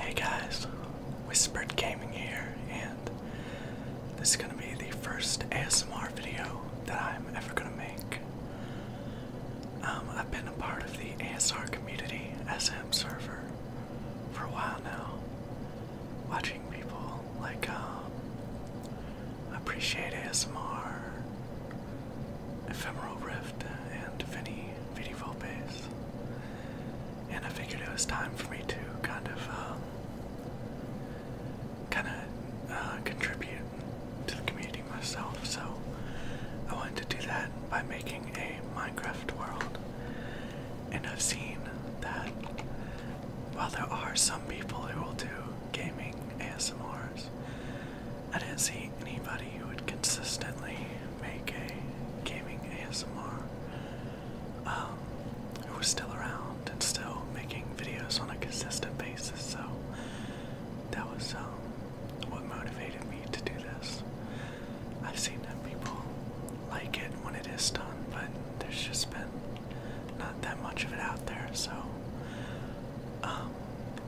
Hey guys, Whispered Gaming here, and this is gonna be the first ASMR video that I'm ever gonna make. Um, I've been a part of the ASR community SM server for a while now, watching people like um, appreciate ASMR, Ephemeral Rift, and Vinnie Vinnie Vidi and I figured it was time for me to kind of, um, kind of uh, contribute to the community myself. So I wanted to do that by making a Minecraft world. And I've seen that while there are some people who will do gaming ASMRs, I didn't see anybody who would consistently make a gaming ASMR, um, who was still around and still making videos on a consistent basis. So that was um, what motivated me to do this. I've seen that people like it when it is done, but there's just been not that much of it out there. So, um,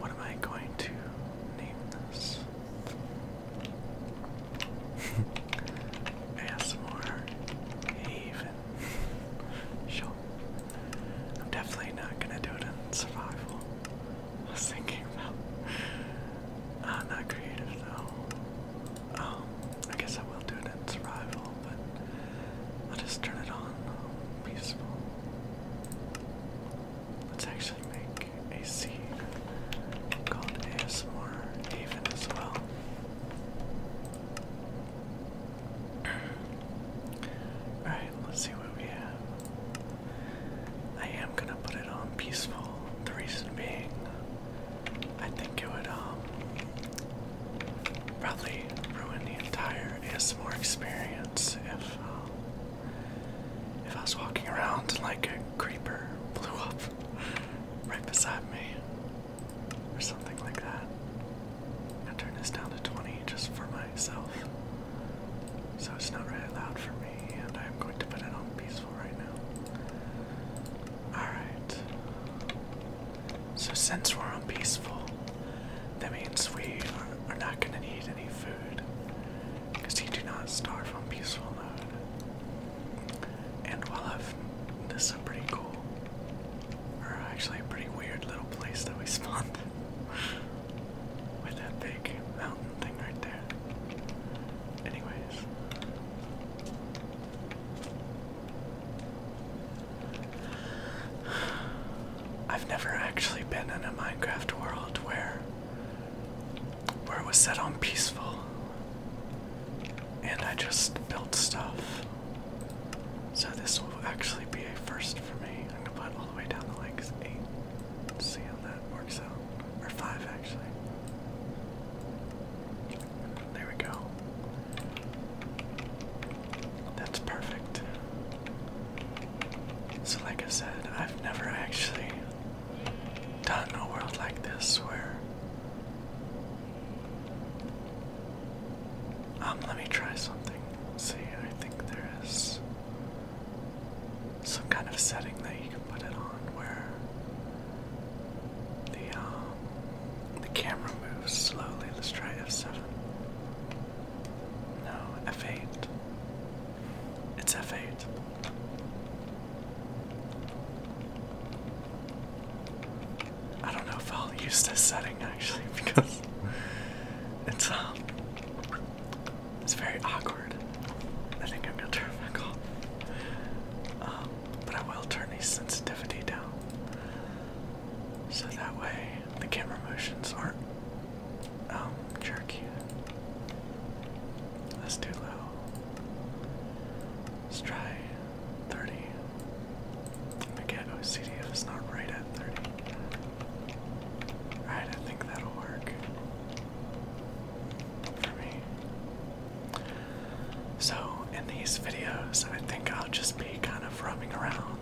what am I going to name this? ASMR Haven Sure. I'm definitely not gonna do it in survival. I was thinking about I'm uh, not creative though. Um, I guess I will do it in survival, but I'll just turn it on um, peaceful. Let's actually make a scene called ASMR Haven as well. Alright, let's see what we have. I am gonna put it on peaceful. The reason being, I think it would um probably ruin the entire ASMR experience if um, if I was walking around and like a creeper blew up right beside me or something like that. I turn this down to 20 just for myself. So it's not really loud for me and I'm going to put it on peaceful right now. Alright. So since we're on peaceful, that means we are not gonna need any food. Cause See, do not starve on peaceful mode. And while I've. This is a pretty cool. Or actually, a pretty weird little place that we spawned. With that big mountain thing right there. Anyways. I've never actually been in a Minecraft world where where it was set on peaceful, and I just built stuff. So this will actually be a first for me. I'm gonna put all the way down to like eight. Let's see how that works out, or five actually. There we go. That's perfect. So, like I said, I've never actually done a world like this where um let me try something. see, I think there is some kind of setting that you can put it on where the um, the camera moves slowly. Let's try F7. No, F8. It's F8. I don't know if I'll use this setting actually because it's um it's very awkward. I think I'm gonna turn back off. Um, but I will turn the sensitivity down so that way the camera motions aren't um jerky. That's too low. Let's try 30. I'm going is not right at 30. Alright, I think that'll work for me. So, in these videos, I think I'll just be kind of roaming around,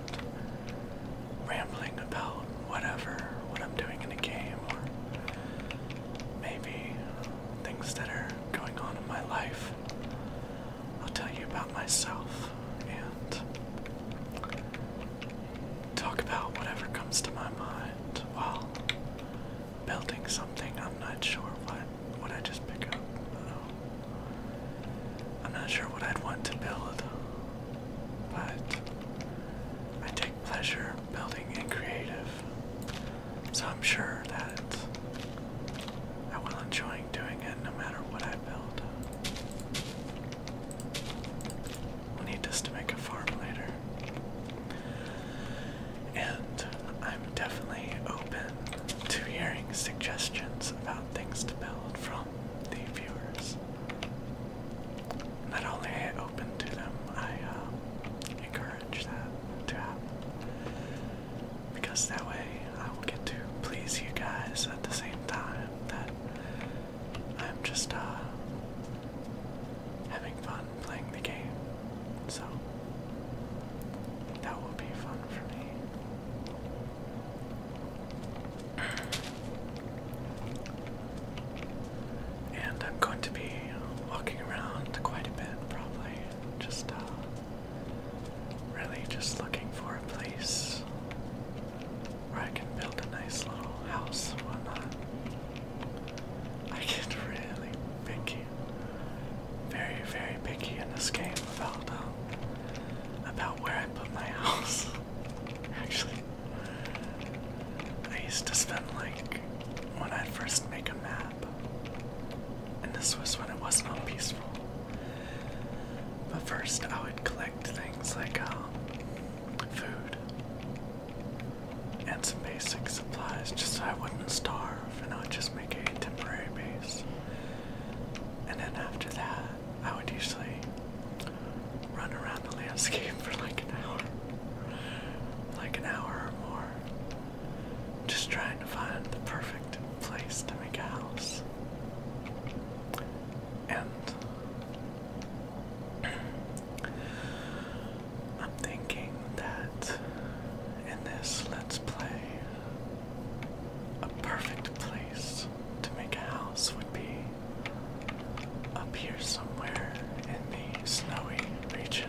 rambling about whatever, what I'm doing in a game, or maybe things that are going on in my life. I'll tell you about myself and talk about whatever comes to my mind while building something. I'm not sure what what I just picked up. I'm not sure what I'd want to build, but I take pleasure building and creative. So I'm sure that I will enjoy doing it no matter what I build. We'll need this to make a farm later. And I'm definitely open to hearing suggestions about things to build from the viewers not only I open to them, I uh, encourage that to happen. Because that way I will get to please you guys at the same time that I'm just uh, having fun playing the game. So that will be fun for me. And I'm going to be walking around quite a bit, probably. Just uh, really just looking for a place where I can build a nice little house whatnot. I get really picky, very, very picky in this game about uh, about where I put my house. Actually, I used to spend like when i first make a map, and this was when it wasn't all peaceful. But first, I would collect things like um, food and some basic supplies just so I wouldn't starve, and I would just make a temporary base. And then after that, I would usually run around the landscape for like an hour like an hour or more, just trying to find the perfect place to make a house. And I'm thinking that in this Let's Play, a perfect place to make a house would be up here somewhere in the snowy region.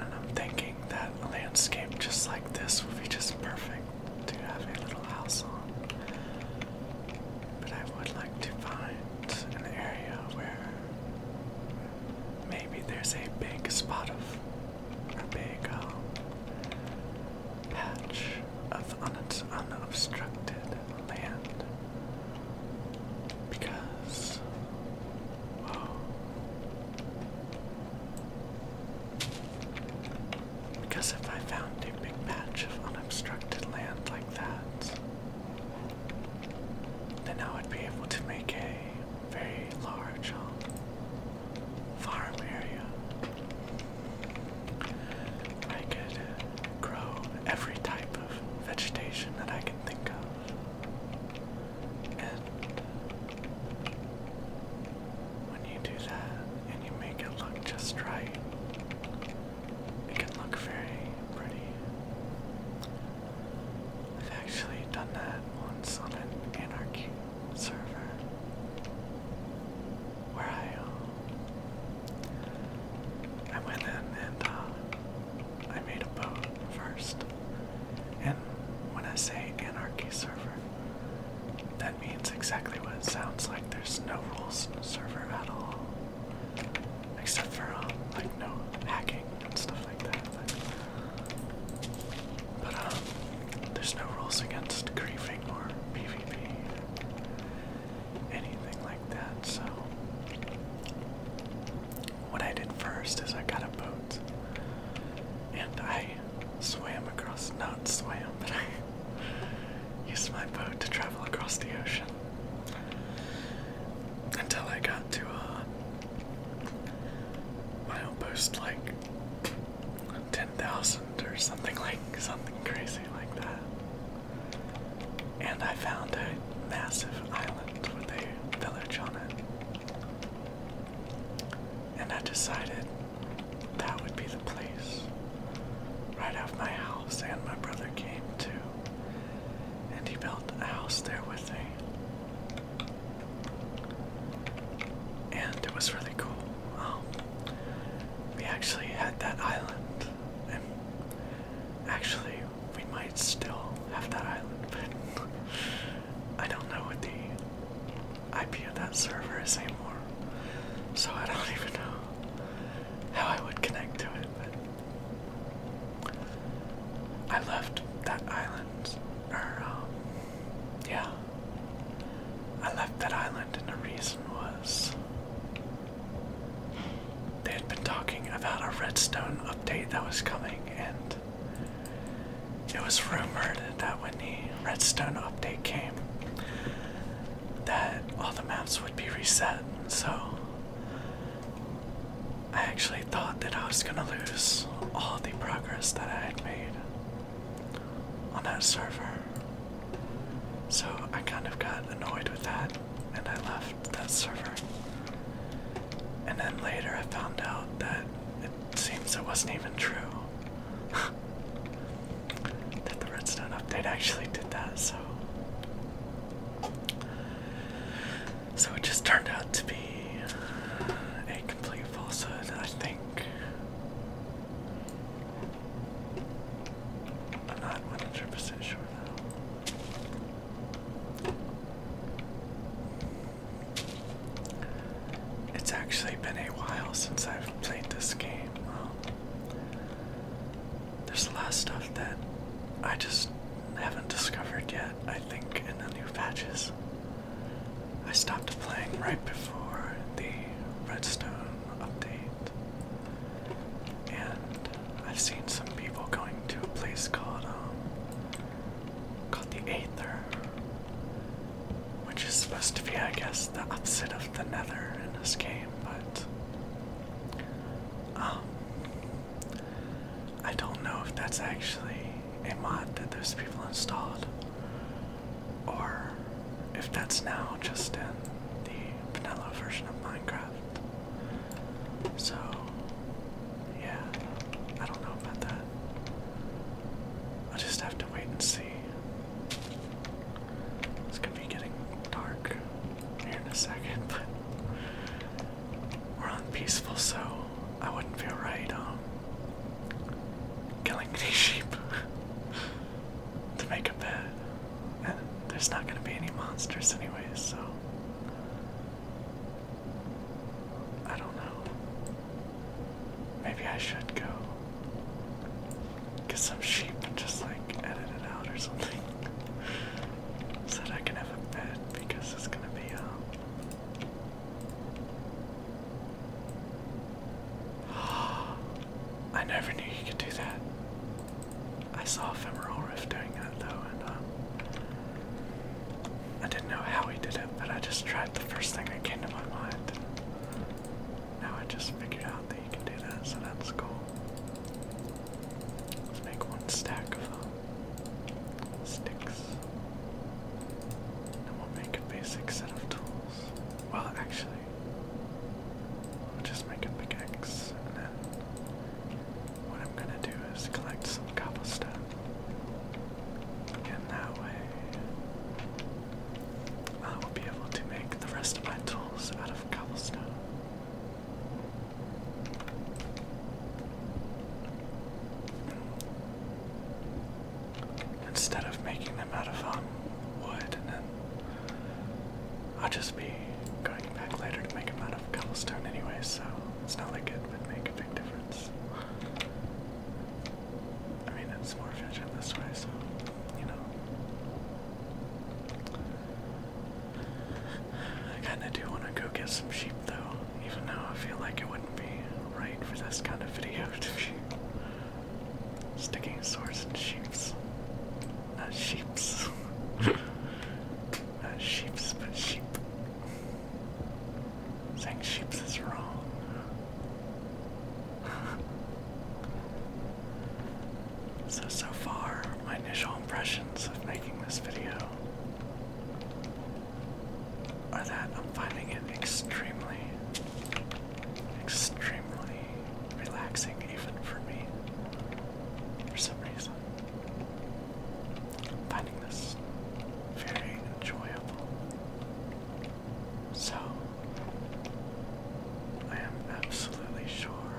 And I'm thinking that a landscape just like this would be just perfect to have a little house on. But I would like to find an area where maybe there's a big spot of a big um, patch of unobstructed land because because if I found a big patch of unobstructed land like that, then I would be able to make a very large um, Farm area I could grow every type of vegetation that I can think of. And when you do that and you make it look just right, it can look very pretty. I've actually done that once on an anarchy server. Where are I went um, in and uh, I made a boat first. And when I say anarchy server, that means exactly what it sounds like. There's no rules in the server at all. Except for, um, like, no hacking and stuff like that. But, um, there's no rules against griefing living anything like that. So, what I did first is I got a boat and I swam across, not swam, but I used my boat to travel across the ocean until I got to a uh, outpost like ten thousand or something like something crazy like that. And I found a massive island with a village on it. And I decided that would be the place. Right off my house, and my brother came too. And he built a house there with me. And it was really cool. Um, we actually had that island, and actually, we might still have that island, but I don't know what the IP of that server is anymore, so I don't even know how I would connect to it. But I left that island, or um, yeah, I left that island, and the reason was they had been talking about a redstone update that was coming, and it was rumored that when the redstone update came, that all the maps would be reset. So I actually thought that I was gonna lose all the progress that I had made on that server. So I kind of got annoyed with that and I left that server. And then later I found out that it seems it wasn't even true. that the redstone update actually did that, so. So it just turned out to be a complete falsehood, I think. I'm not 100 sure It's actually been a while since I've played this game. Um, there's a lot of stuff that I just haven't discovered yet, I think, in the new patches. I stopped playing right before the redstone update. And I've seen some people going to a place called um, called the Aether. Which is supposed to be, I guess, the opposite of the nether in this game, but um, I don't know if that's actually a mod that those people installed or if that's now just in the vanilla version of Minecraft. So, yeah, I don't know about that. i just have to wait and see. It's gonna be getting dark here in a second, we're on peaceful, so I wouldn't feel right um killing these sheep to make a bed. And there's not gonna be any monsters anyway, so I don't know. Maybe I should go get some sheep and just like edit it out or something. so that I can have a bed because it's gonna be a. Um, I never knew you could do that. I saw Ephemeral Rift doing that though, and um, I didn't know how he did it, but I just tried the first thing that came to my mind. now I just figured out that you can do that, so that's cool. Let's make one stack of um, Sticks. And we'll make a basic set of tools. Well, actually, I'll just make a pickaxe, and then what I'm gonna do is collect some cobblestone. And that way, I will be able to make the rest of my tools out of cobblestone instead of making them out of um, wood and then I'll just be going back later to make them out of cobblestone anyway, so it's not like it would make a big difference. I mean, it's more efficient this way, so, you know. I kinda do wanna go get some sheep though, even though I feel like it wouldn't be right for this kind of video to be Sticking swords and sheeps. Not uh, sheeps. Not uh, sheeps, but sheep. Saying sheeps is wrong. so, so far, my initial impressions of making this video are that I'm finding it extremely, extremely relaxing even for me for some reason. I'm finding this very enjoyable. So, I am absolutely sure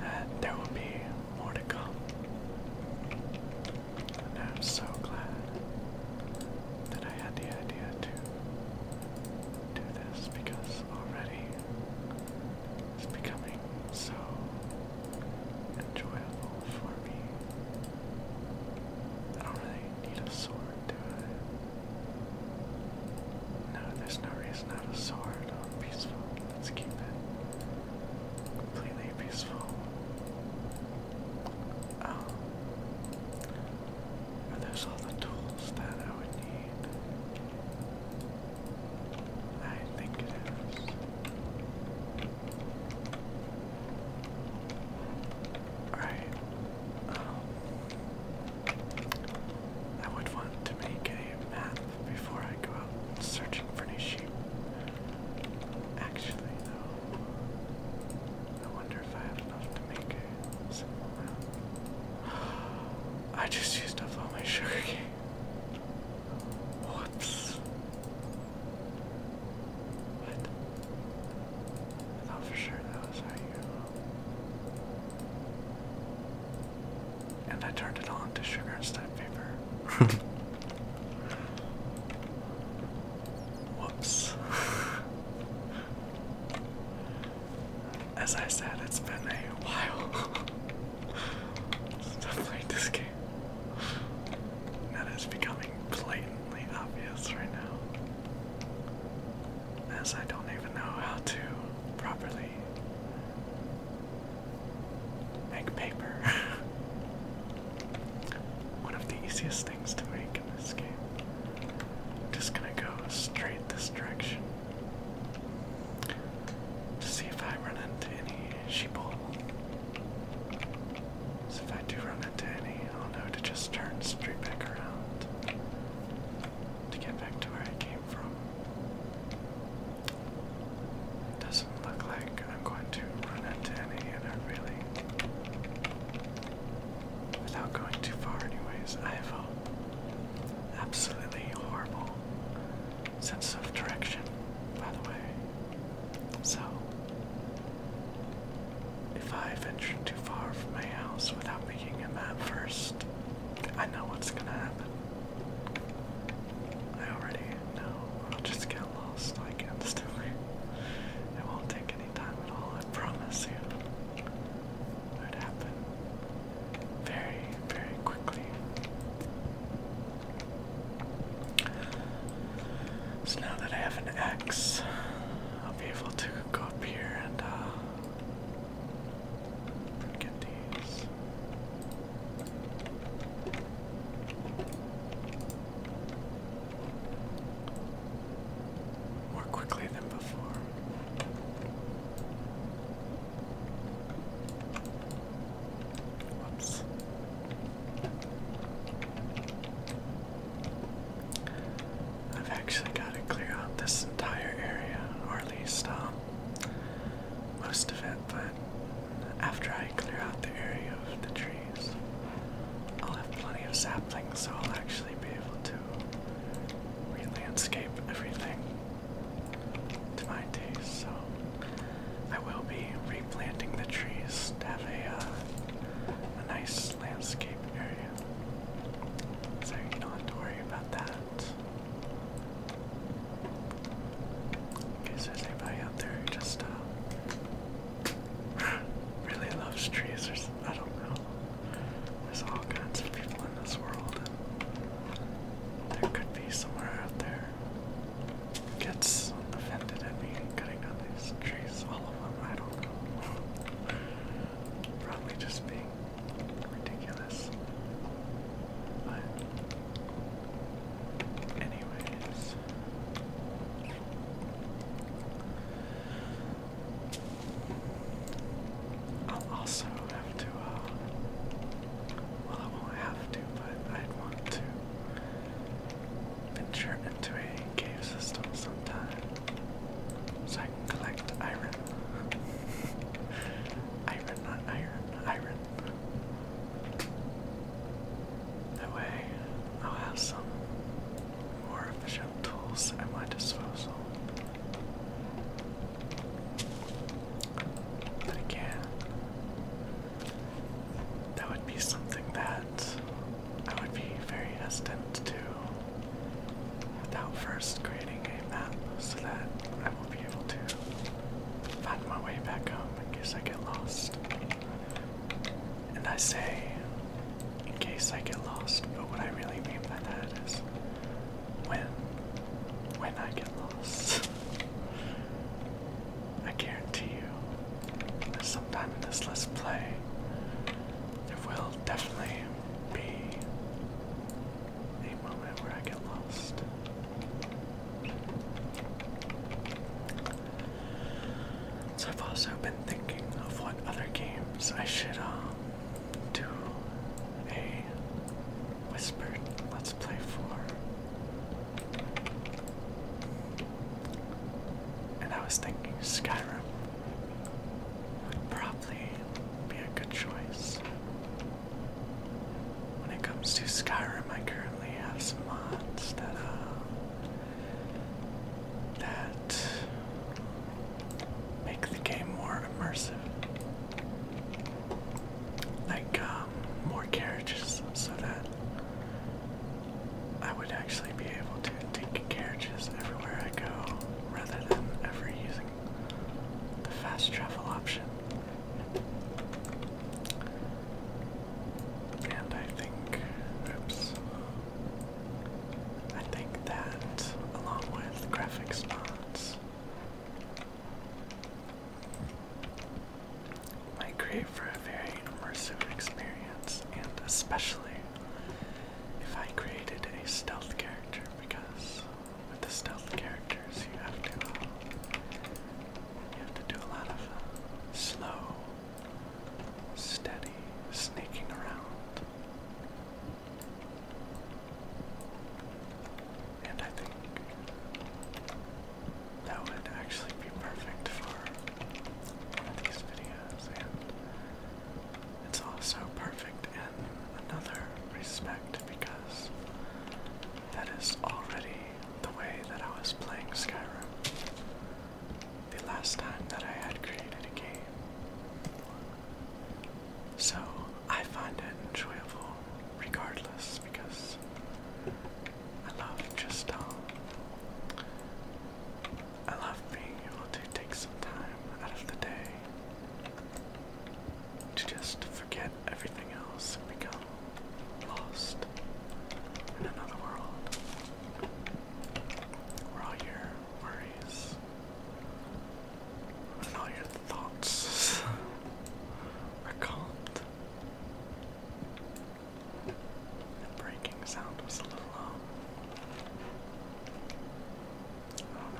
that there will be more to come. And I'm so glad that I had the idea too do this because already it's becoming so enjoyable for me. I don't really need a sword, do I? No, there's no reason to a sword. i oh, peaceful. Let's keep it completely peaceful. Oh. And there's all the tools that I would need. I think it is. Alright. Um, I would want to make a map before I go out searching for any sheep. Actually, though, I wonder if I have enough to make I just used up all my sugar cane. Whoops. What? for sure that was how you and I turned it all into sugar instead of Whoops. as I said, it's been a while since i this game. That is becoming blatantly obvious right now, as I don't even know how to properly make paper. One of the easiest things to make in this just gonna go straight this direction to see if I run into any sheeple. So if I do run into any, I'll know to just turn straight back around to get back to where I came from. It doesn't look like I'm going to run into any, and I really Without going too far, anyways, I have a absolutely horrible sense of direction, by the way. So, if I venture too far from my house without making a map first, I know what's gonna happen. I already know. I'll just get lost like instantly. It won't take any time at all, I promise you would happen very, very quickly. So now that I have an X, I'll be able to go up here and uh, get these more quickly than before. Whoops. I've actually got to clear out this entire area, or at least um, most of it, but after I clear out the area of the trees, I'll have plenty of saplings, so I'll actually be able to re-landscape everything to my taste, so I will be replanting the trees to have a, uh, a nice landscape area. So you don't have to worry about that. In case there's anybody out there who just uh, really loves trees I don't know. There's all kinds of people in this world, and there could be somewhere out there gets offended at me cutting down these trees. All of them, I don't know. Probably just being ridiculous. But, anyways. I'll also have to, uh, well, I won't have to, but I'd want to venture into a cave system sometime so I can collect iron. iron, not iron, iron. That way I'll have some more efficient tools at my disposal. But again, that would be something that I would be very hesitant to without first creating a map so that I will be able to find my way back home in case I get lost. And I say in case I get lost. But what I really mean by that is when when I get lost. I guarantee you that sometime in this list play there will definitely be a moment where I get lost. So I've also been thinking of what other games I should um to a whispered let's play for. And I was thinking Skyrim would probably be a good choice. When it comes to Skyrim, I currently have some mods that uh, that make the game more immersive. Like um, more carriages so that I would actually be able to take carriages everywhere I go rather than ever using the fast travel option. And I think, oops, I think that, along with graphics mods, might create for a very immersive experience, and especially if I created a stealth character, because with the stealth characters you have to uh, you have to do a lot of uh, slow, steady sneaking around. And I think that would actually be perfect for these videos, and it's also perfect in another respect because that is already the way that I was playing Skyrim. The last time that I had created a game so I find it enjoyable regardless because I love just um, I love being able to take some time out of the day to just forget everything else and become lost in another world where all your worries and all your thoughts are calmed. The breaking sound was a little oh, rough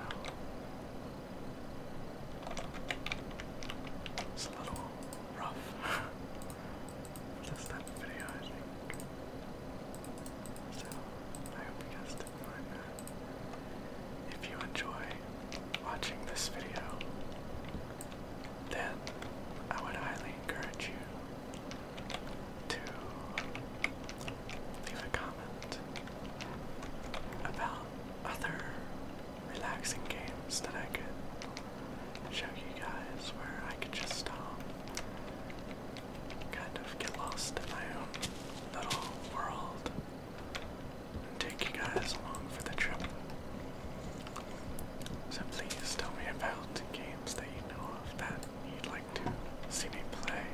for this video, So, I hope you guys did if you enjoy watching this video, then I would highly encourage you to leave a comment about other relaxing games that I could show you guys where I could just stop um, kind of get lost in my own little world and take you guys along for the trip. So please tell me about games that you know of that you'd like to see me play.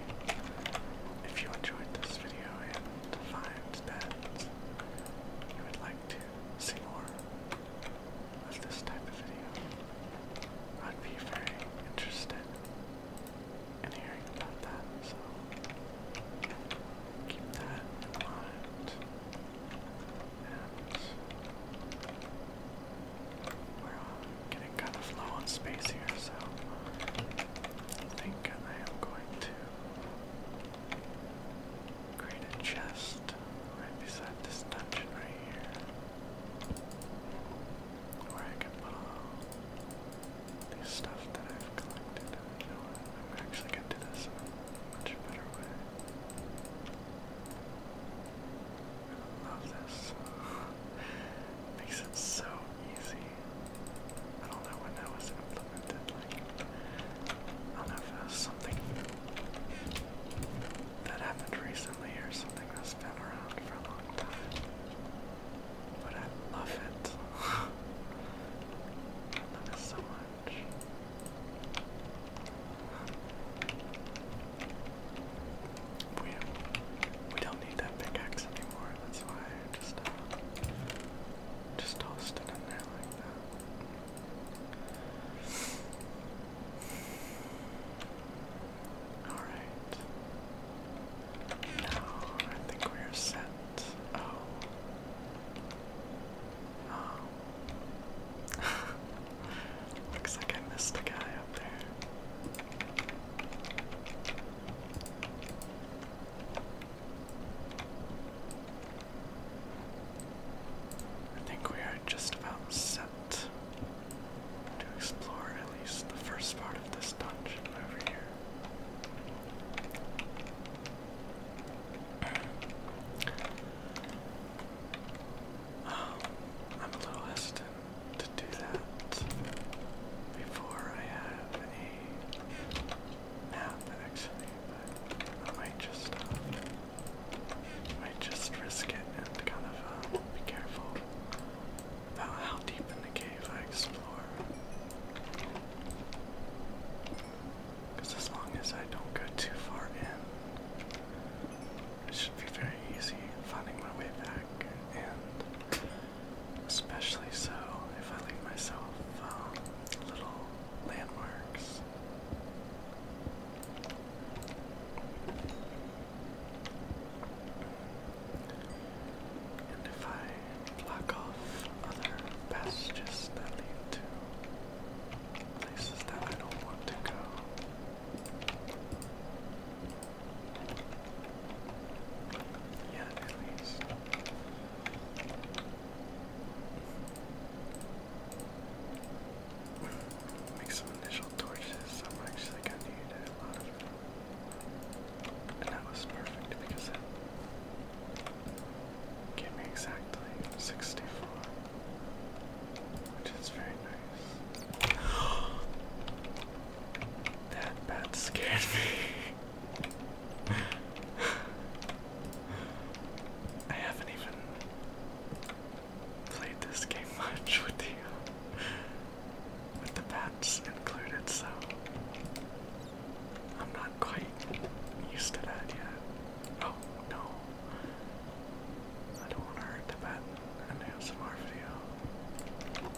If you enjoyed this video and find that you would like to see more of this type of video, I'd be very interested and hearing about that, so keep that in mind. And we're getting kind of low on space here, so I think I am going to create a chest right beside this dungeon right here. Where I can put all the stuff that I've collected. I'm actually going to do this in a much better way. I love this. Makes it so easy. I don't know when that was implemented. I don't know if that something that happened recently or something that's been around for a long time. But I love it. love it so much. We, we don't need that pickaxe anymore, that's why just, uh, just tossed it in there like that. Alright. Now I think we're set. Oh. Oh. Looks like I missed a guy up there. I think we are just about set to explore at least the first part of this dungeon over here. I'm a little hesitant to do that before I have any map actually, but I might just uh, might just risk it and kind of uh, be careful about how deep in the cave I explore. Because as long as I don't go too far in, it should be very easy finding my way back, and especially so if I leave myself um, little landmarks. And if I block off other passages that lead to places that I don't want to go. Yeah, at least. Make some initial torches. i actually gonna need a lot of them. And that was perfect because it gave me exactly 64, which is very nice. that bat scared me. I haven't even played this game much with you with the bats included, so I'm not quite used to that yet. Oh no. I don't want to hurt the bat in an ASMR video.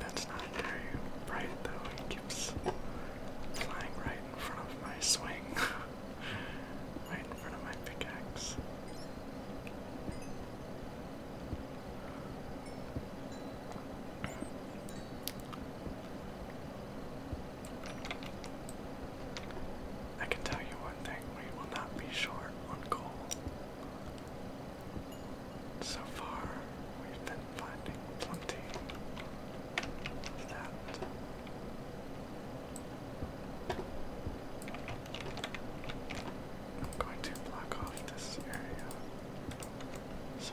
That's not very bright though, it keeps flying right in front of my swing. right in front of my pickaxe. I can tell you one thing, we will not be short on coal. So far, we've been finding plenty of that. I'm going to block off this area so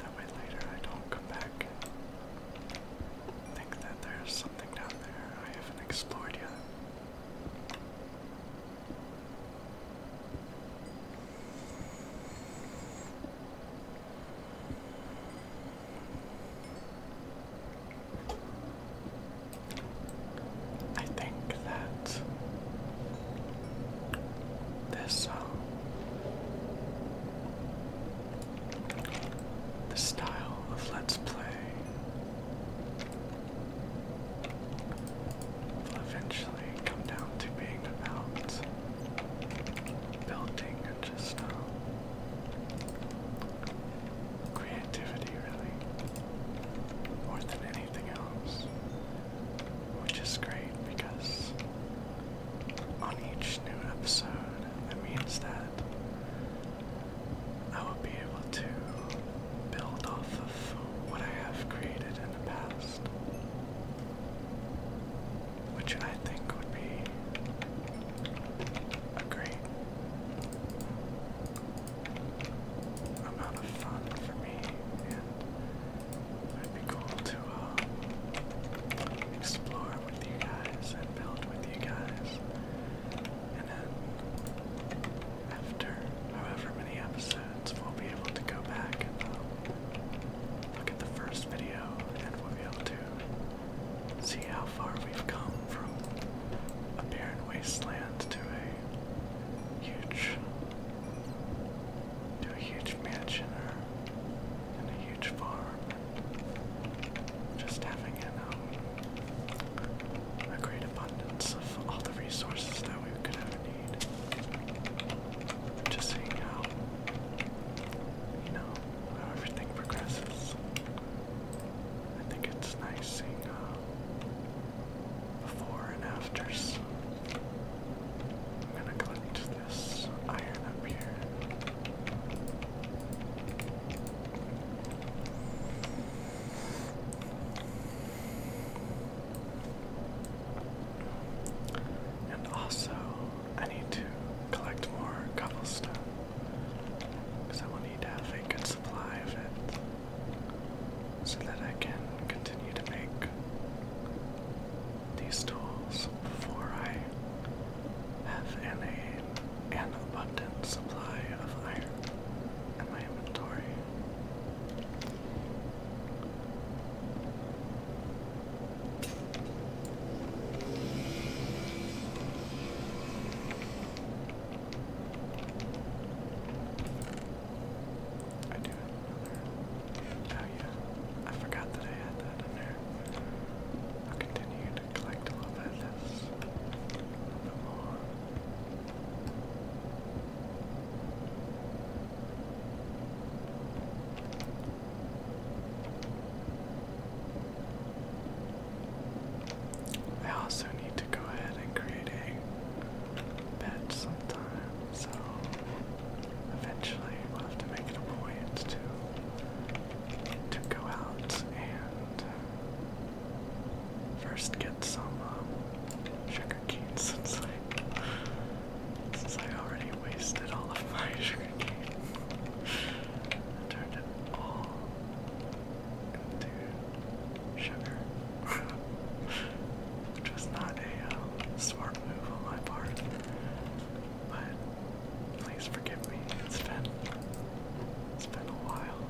that way later I don't come back and think that there's something down there I haven't explored yet. I think that this uh, the style of Let's Play will eventually come down to being about building and just uh, creativity, really, more than anything else, which is great because on each new episode, that means that I will be able to build off of what I have created in the past, which I think would be great amount of fun for me, and it'd be cool to uh, explore with you guys and build with you guys. And then, after however many episodes, we'll be able to go back and uh, look at the first video, and we'll be able to see how far we've come from a barren wasteland to a huge to a huge mansion and a huge farm. Just having an, um, a great abundance of all the resources that we could ever need. Just seeing how, you know, how everything progresses. I think it's nice seeing uh, before and afters. I'm gonna collect this iron up here. And also, I need to collect more cobblestone because I will need to have a good supply of it so that I can continue to make these tools before I have any an abundant supply of iron in my inventory. I do Oh yeah, I forgot that I had that in there. I'll continue to collect a little bit of this. I also need to go ahead and create a patch sometime, so eventually we'll have to make it a point to to go out and first get some um, sugar cane, since I since I already wasted all of my sugar cane. I turned it all sugar, which not a um, smart move on my part. But please forgive me. It's been it's been a while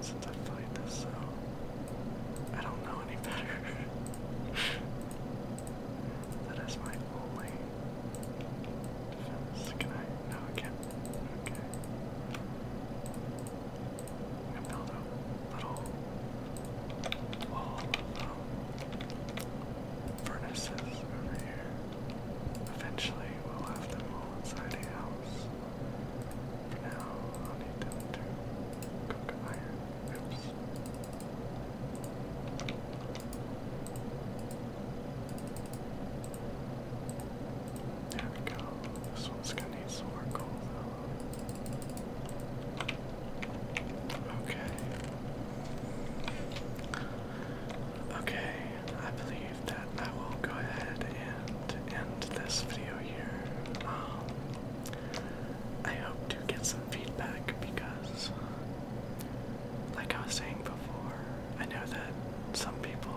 since I played this, so I don't know any better. that is my only Can I? No, I Okay. I'm gonna build a little wall of um, furnaces over here. Eventually we'll have them all inside a house. For now, I'll need them to cook iron. Oops. There we go. This one's gonna need some more coal though. Okay. Okay, I believe that I will go ahead and end this video here. Um, I hope to get some feedback because, like I was saying before, I know that some people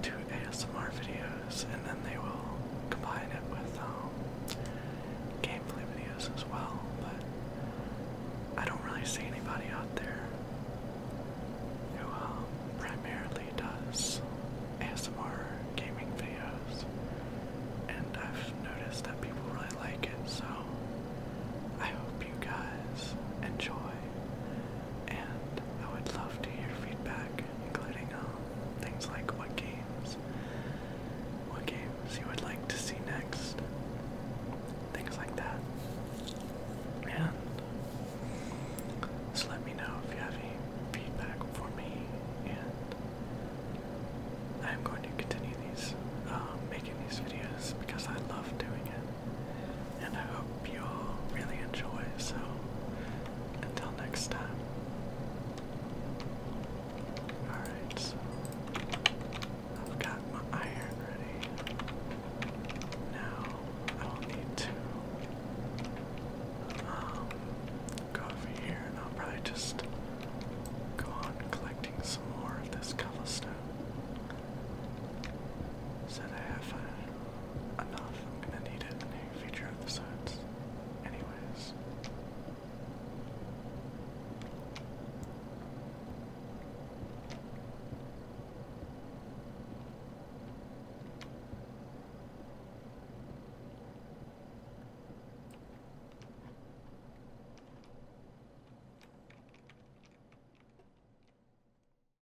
do ASMR videos, and then they will combine it with um, gameplay videos as well. But I don't really see anybody out there who um, primarily does ASMR gaming videos, and I've noticed that people really like it. So I hope you guys enjoy and I would love to hear feedback, including um, things like what games, what games you would like to see next, things like that. And just let me know if you have any feedback for me, and I'm going to continue these, uh, making these videos because I love doing it and I hope you all really enjoy. So, until next time. Alright, I've got my iron ready. Now I will need to um, go over here and I'll probably just go on collecting some more of this cobblestone. Said I have uh, enough. I'm gonna need it in the near future episodes. Anyways.